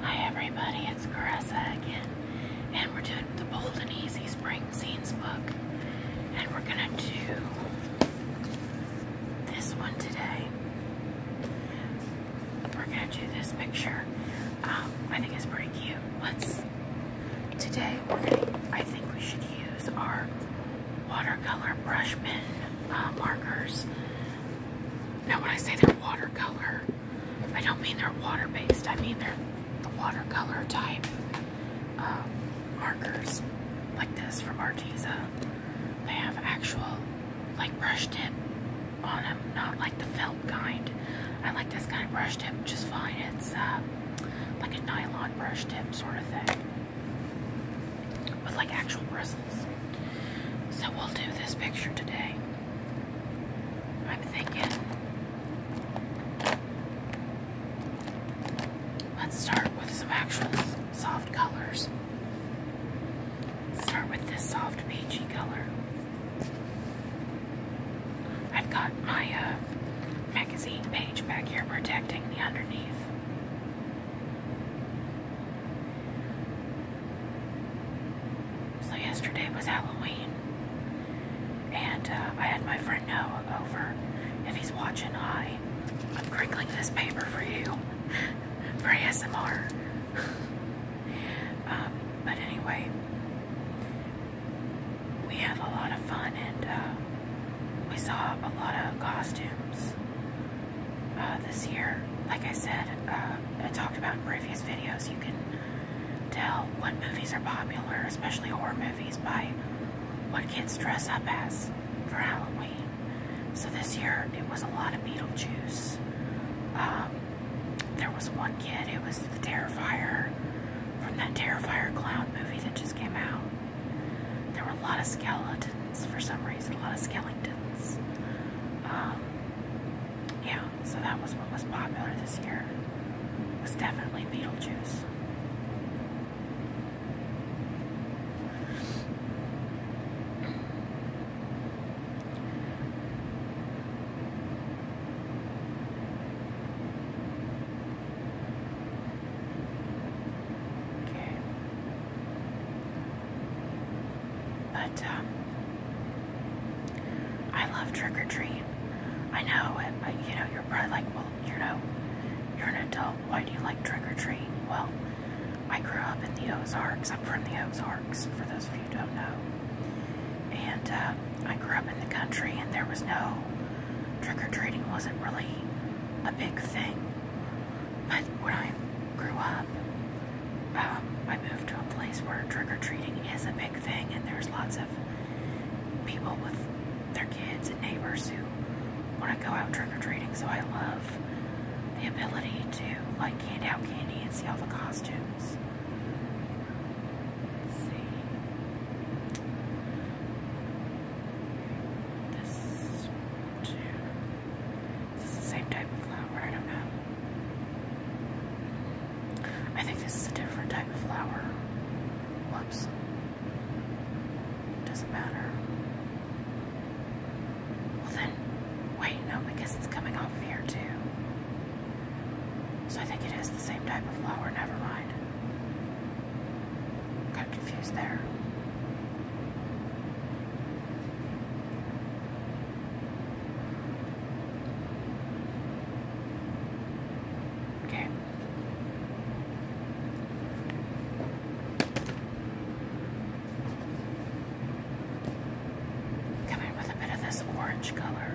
Hi everybody, it's Caressa again, and we're doing the Bold and Easy Spring Scenes book, and we're gonna do this one today. We're gonna do this picture. Um, I think it's pretty cute. Let's today. We're gonna. I think we should use our watercolor brush pen uh, markers now, when I say they're watercolor, I don't mean they're water based, I mean they're the watercolor type um, markers like this from Arteza. They have actual, like, brush tip on them, not like the felt kind. I like this kind of brush tip just fine. It's uh, like a nylon brush tip sort of thing with like actual bristles. So we'll do this picture today. I'm thinking. Let's start with some actual soft colors. Start with this soft peachy color. I've got my uh, magazine page back here protecting the underneath. So yesterday was Halloween, and uh, I had my friend Noah over. If he's watching, I'm crinkling this paper for you for ASMR. Um, but anyway, we had a lot of fun, and uh, we saw a lot of costumes uh, this year. Like I said, uh, I talked about in previous videos, you can tell what movies are popular, especially horror movies, by what kids dress up as for Halloween. So this year, it was a lot of Beetlejuice. Um, there was one kid, it was the Terrifier from that Terrifier clown movie that just came out. There were a lot of skeletons for some reason, a lot of skeletons. Um, yeah, so that was what was popular this year. It was definitely Beetlejuice. Okay. But um, I love trick or treat. I know, uh, you know, you're probably like, well, you know, you're an adult. Why do you like trick or treat? Well, I grew up in the Ozarks. I'm from the Ozarks, for those of you who don't know. And uh, I grew up in the country, and there was no trick or treating wasn't really a big thing. But when I grew up, um, I moved to a place where trick or treating is a big thing, and there's lots of people with their kids and neighbors who want to go out trick or treating. So I love the ability to like hand out candy and see all the costumes. Let's see. This one, is the same type of flower? I don't know. I think this is a different type of flower. Whoops. Doesn't matter. Well then, wait, no, because it's coming off of here too. So I think it is the same type of flower, never mind. Got confused there. Okay. Come in with a bit of this orange color.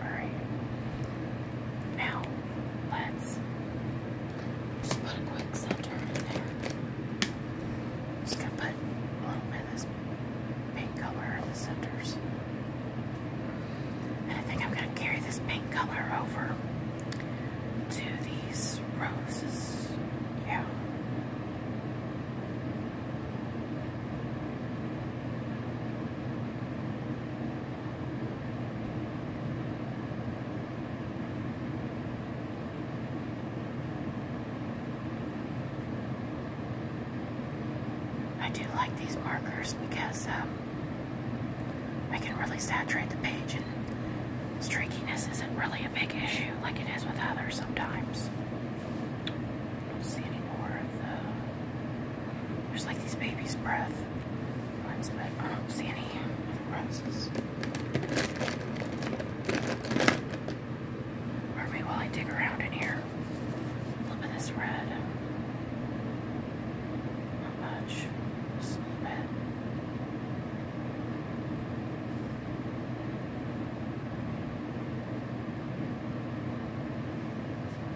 All right. Now let's just put a quick center in there. Just gonna put red along by this pink color in the centers. And I think I'm going to carry this pink color over to these roses. Yeah. I do like these markers because um, I can really saturate the page and streakiness isn't really a big issue like it is with others sometimes. don't see any more of the... There's like these baby's breath ones, but I don't see any of the roses maybe while I dig around in here. Look at this red. Not much.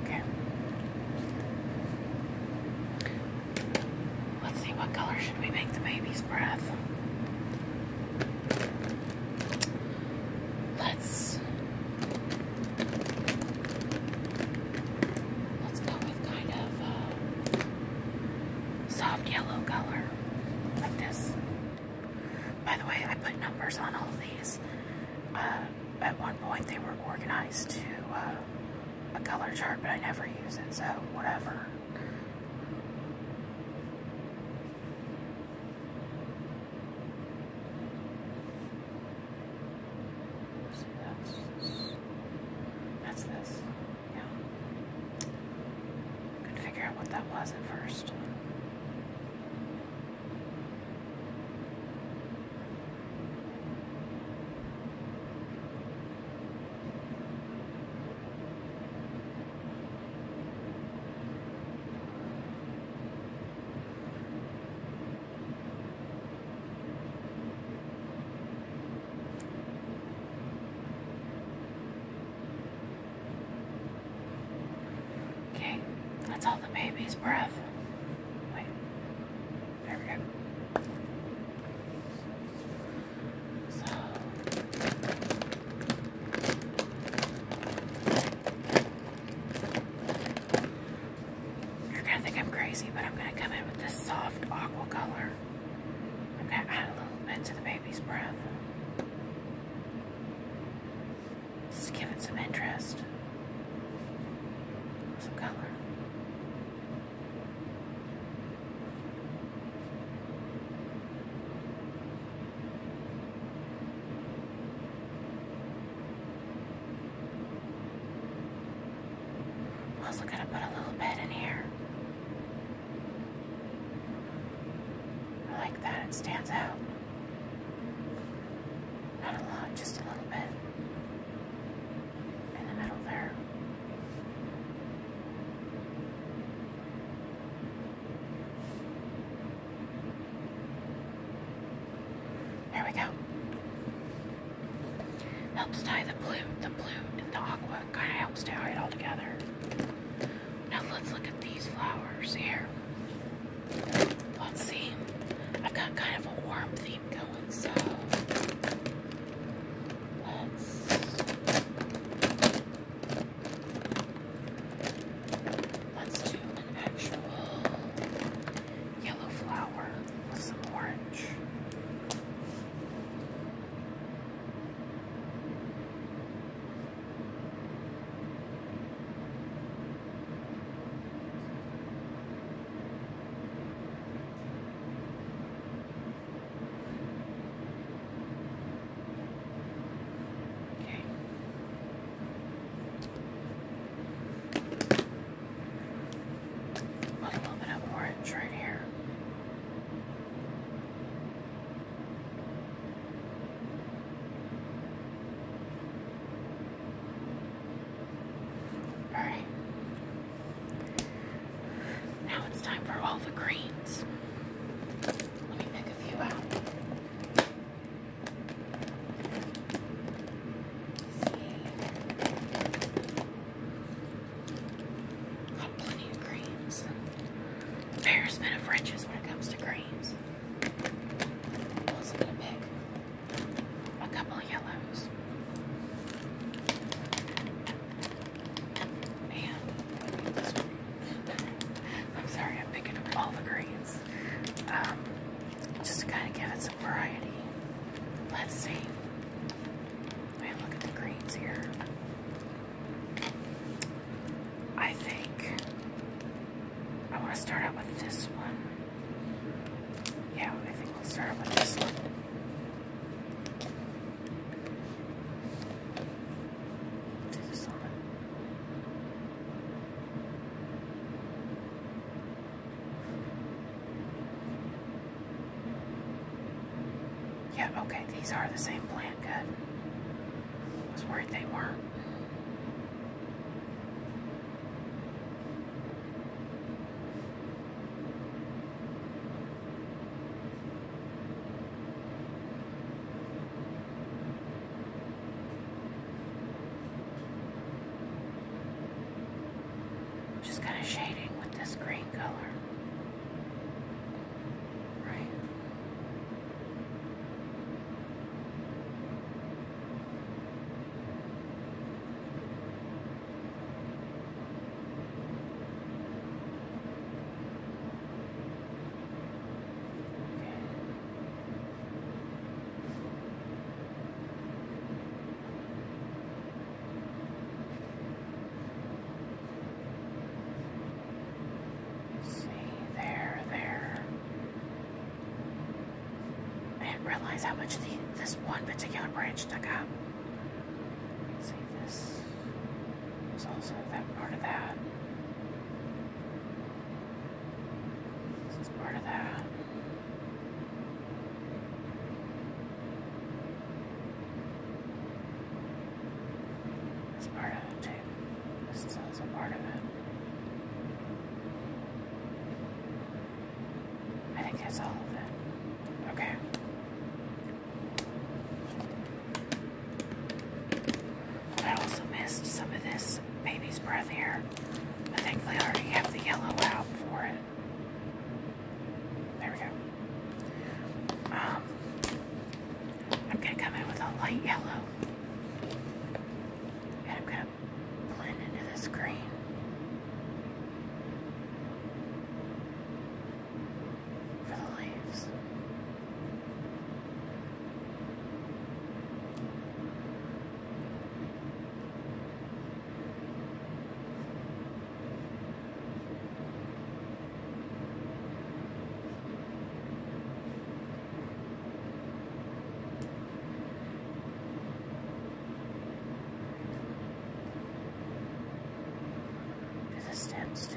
Okay. Let's see what color should we make the baby's breath. Let's let's go with kind of uh, soft yellow color like this. By the way, I put numbers on all of these. Uh, at one point, they were organized to uh, a color chart, but I never use it, so whatever. See, that's, that's this. Yeah. Couldn't figure out what that was at first. Okay, that's all the baby's breath. Wait, there we go. You're gonna think I'm crazy, but I'm gonna come in with this soft aqua color. I'm gonna add a little bit to the baby's breath. Just give it some interest. Some color. Also gonna put a little bit in here. I like that, it stands out. Not a lot, just a little bit in the middle there. There we go. Helps tie the blue, the blue, and the aqua. Kind of helps tie it all together. Now let's look at these flowers here. Let's see. I've got kind of a warm theme going, so let's Let's do an actual yellow flower with some orange. Okay. a little bit of orange right here. All right. Now it's time for all the greens. Let me pick a few out. See. Got plenty of creams. Ferris been of riches when it comes to creams. I'm also gonna pick a couple of yellows. And I'm sorry, I'm picking up all the greens. Um, just kind of give it some variety. Let's see. Man, look at the greens here. I think I want to start out with this one. Yeah, I think we'll start with this one. Yeah, okay, these are the same plant, cut. I was worried they weren't. Just kind of shading with this green color. Right? See, there, there. I didn't realize how much the, this one particular branch took up. See, this was also that part of that. This is part of that. That's part of it This is also part of it. I think that's all of it. Okay. I also missed some of this baby's breath here. I think they already have the yellow out for it. There we go. Um, I'm going to come in with a light yellow. And I'm going to blend into this green. For the leaves. Resistance to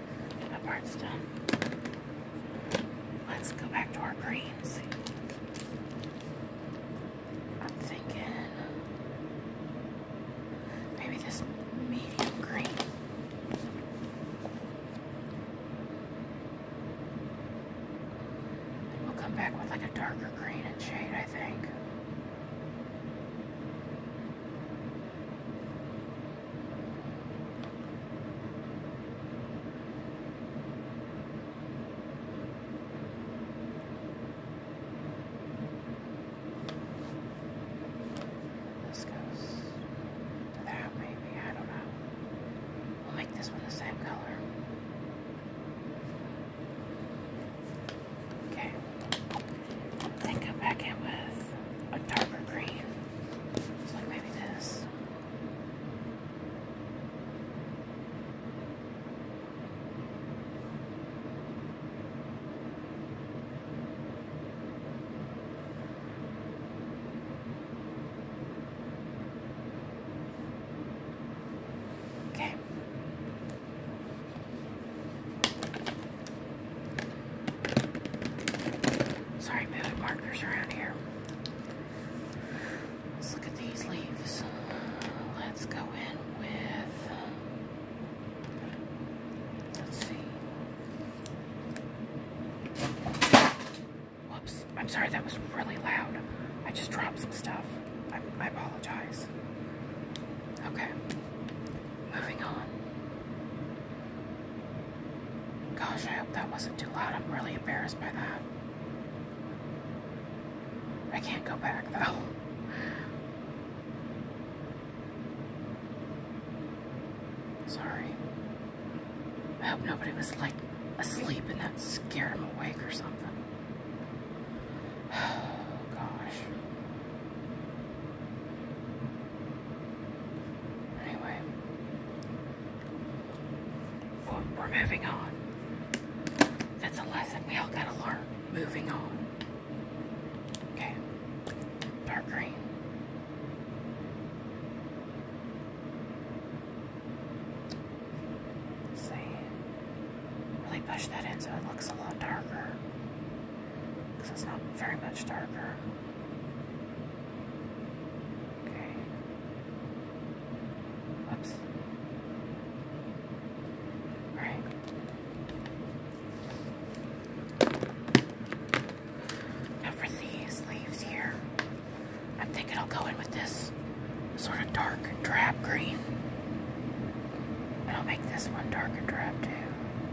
That part's done. Let's go back to our greens. I'm maybe this medium green. we'll come back with like a darker green and shade, I think. This goes to that, maybe. I don't know. We'll make this one the same color. Okay. Then come back in with a darker green. So maybe this. Okay. Sorry, moving markers around here. Let's look at these leaves. Let's go in with, let's see. Whoops, I'm sorry, that was really loud. I just dropped some stuff. I, apologize. Okay. Moving on. Gosh, I hope that wasn't too loud. I'm really embarrassed by that. I can't go back though. Sorry. I hope nobody was like asleep and that scared him awake or something. Oh, gosh. Anyway, we're moving on. That's a lesson we all gotta learn. Moving on. Okay, dark green. see. Really push that in so it looks a lot darker because it's not very much darker. Okay. Oops. Alright. Now for these leaves here, I'm thinking I'll go in with this sort of dark drab green. And I'll make this one dark and drab too.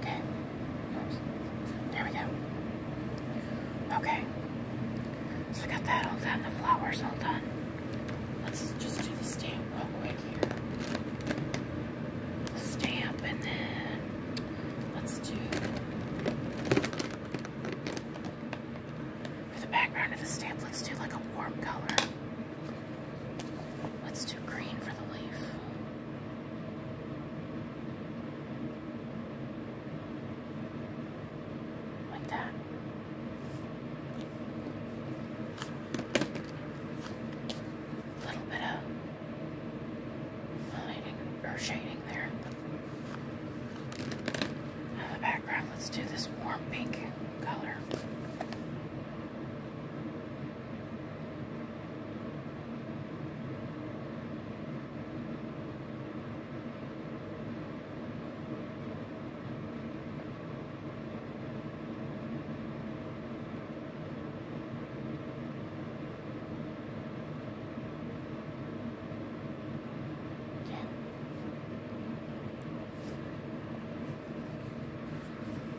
Okay. There we go. Okay. So we got that all done. The flowers all done. Let's just do the stamp real quick stamp and then let's do for the background of the stamp, let's do like a warm color. Let's do green for the leaf. Like that. A little bit of oh, shading there the background, let's do this warm pink color.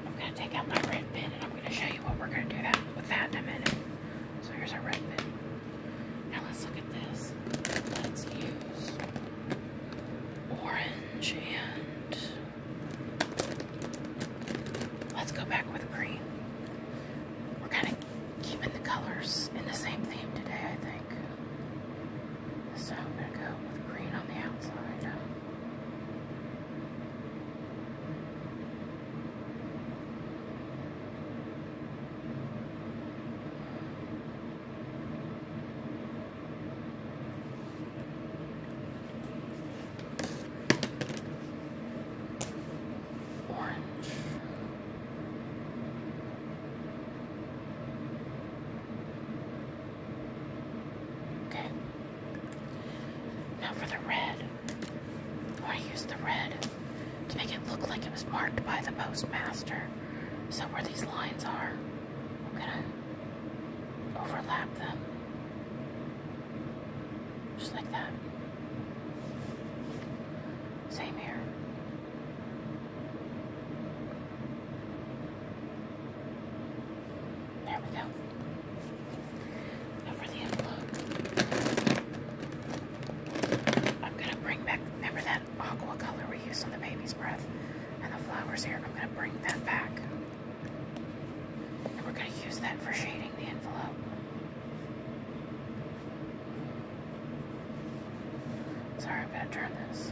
I'm going to take out my red pen and I'm going to show you what we're going to do with that in a minute. So here's our red pen. Now let's look at this. Let's use orange and let's go back with green. We're kind keeping the colors in the same theme today, I think. So I'm going to go with green on the outside orange. Okay. Now for the red. Oh, I use the red to make it look like it was marked by the postmaster. So where these lines are, I'm gonna overlap them. Just like that. Same here. There we go. for the envelope. I'm going to bring back, remember that aqua color we used on the baby's breath and the flowers here? I'm going to bring that back. And we're going to use that for shading the envelope. Sorry, I'm gonna turn this.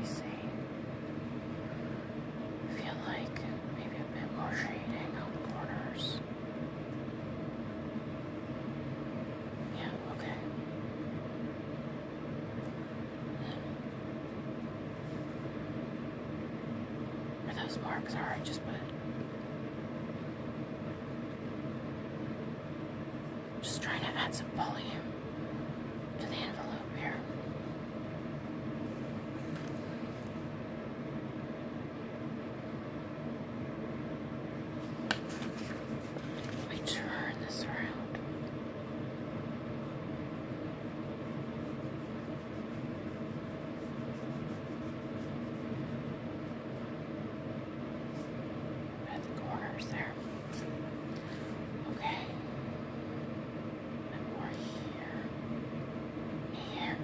You see, I feel like maybe a bit more shading on the corners. Yeah, okay. Are those marks alright? Just put. Just trying to add some volume to the envelope here. Let me turn this around at the corners there. Okay. And more here. Here.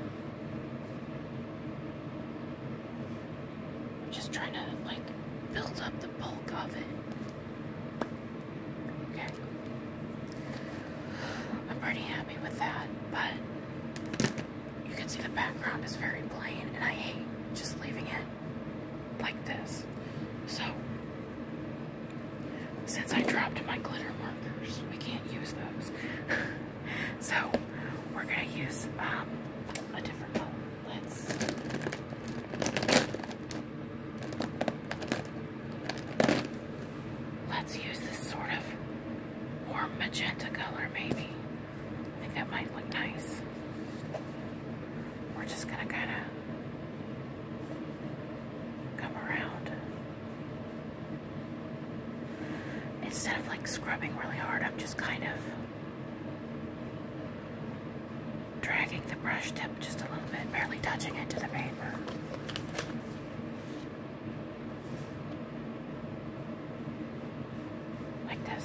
just trying to like build up the bulk of it. Okay. I'm pretty happy with that, but you can see the background is very plain and I hate just leaving it like this. So, since I dropped my glitter markers, we can't use those. so, we're going to use um, a different color. Let's. Let's use this sort of warm magenta color, maybe. I think that might look nice we're just gonna kind of come around. Instead of like scrubbing really hard, I'm just kind of dragging the brush tip just a little bit, barely touching it to the paper. Like this.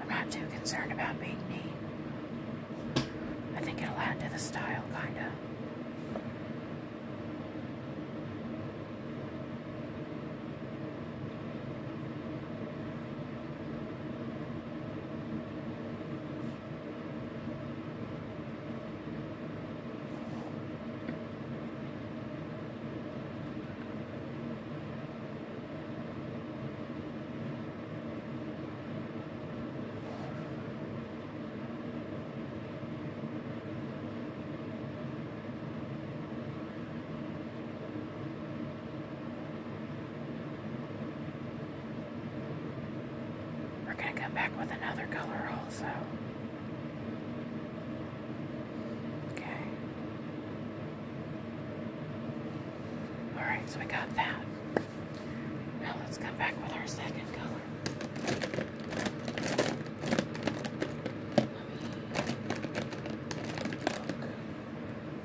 I'm not too concerned about being neat. I think it'll add to the style, kind of. We're going to come back with another color also. Okay. Alright, so we got that. Now let's come back with our second color.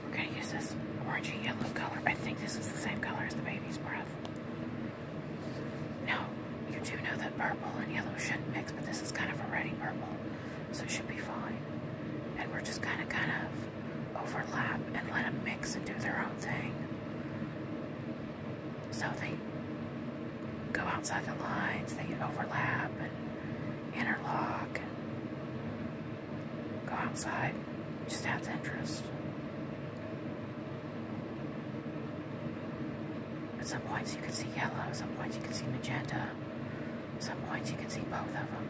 We're going to use this orangey yellow color. I think this is the same color as the baby's breath. Now, you do know that purple and yellow shouldn't mix, but this is kind of a already purple, so it should be fine. And we're just kind of, kind of overlap and let them mix and do their own thing. So they go outside the lines, they overlap and interlock and go outside. It just adds interest. At some points you can see yellow, At some points you can see magenta, At some points you can see both of them.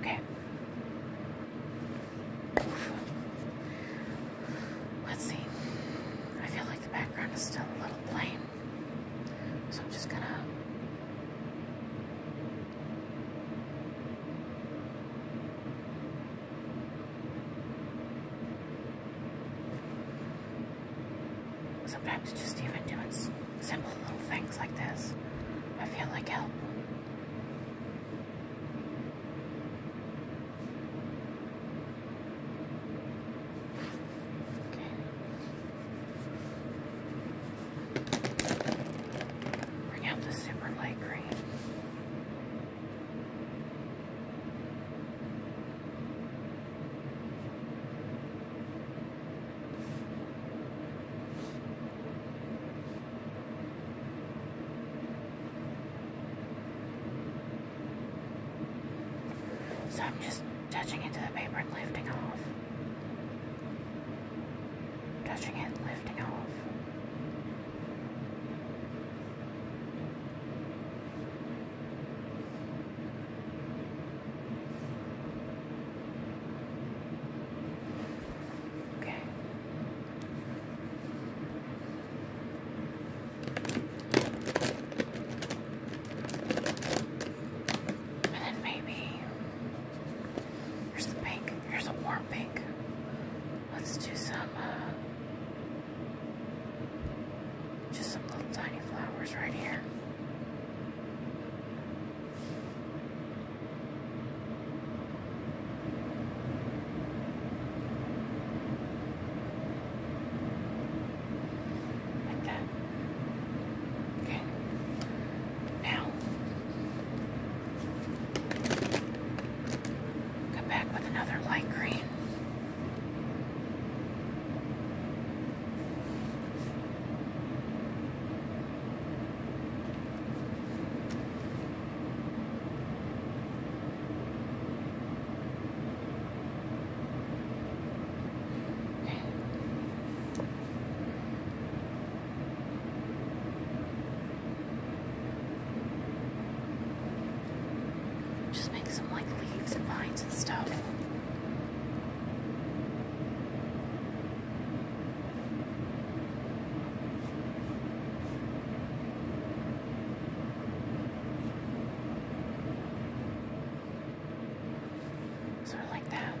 Okay. Let's see. I feel like the background is still a little plain. So I'm just gonna sometimes just even doing simple little things like this, I feel like help. So I'm just touching it to the paper and lifting off. Touching it, lifting off. Okay. And then maybe here's the pink. Here's a warm pink. Let's do some uh, just some little tiny flowers right here. Like that. Okay. Now, come back with another light green. Just make some like leaves and vines and stuff. Sort of like that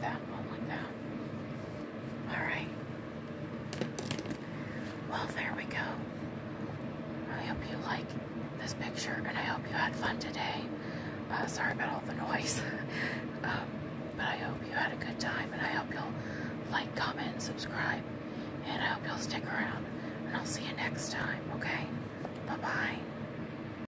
that one like that. Alright. Well, there we go. I hope you like this picture and I hope you had fun today. Uh, sorry about all the noise. Um, but I hope you had a good time and I hope you'll like, comment, and subscribe. And I hope you'll stick around. And I'll see you next time, okay? Bye-bye.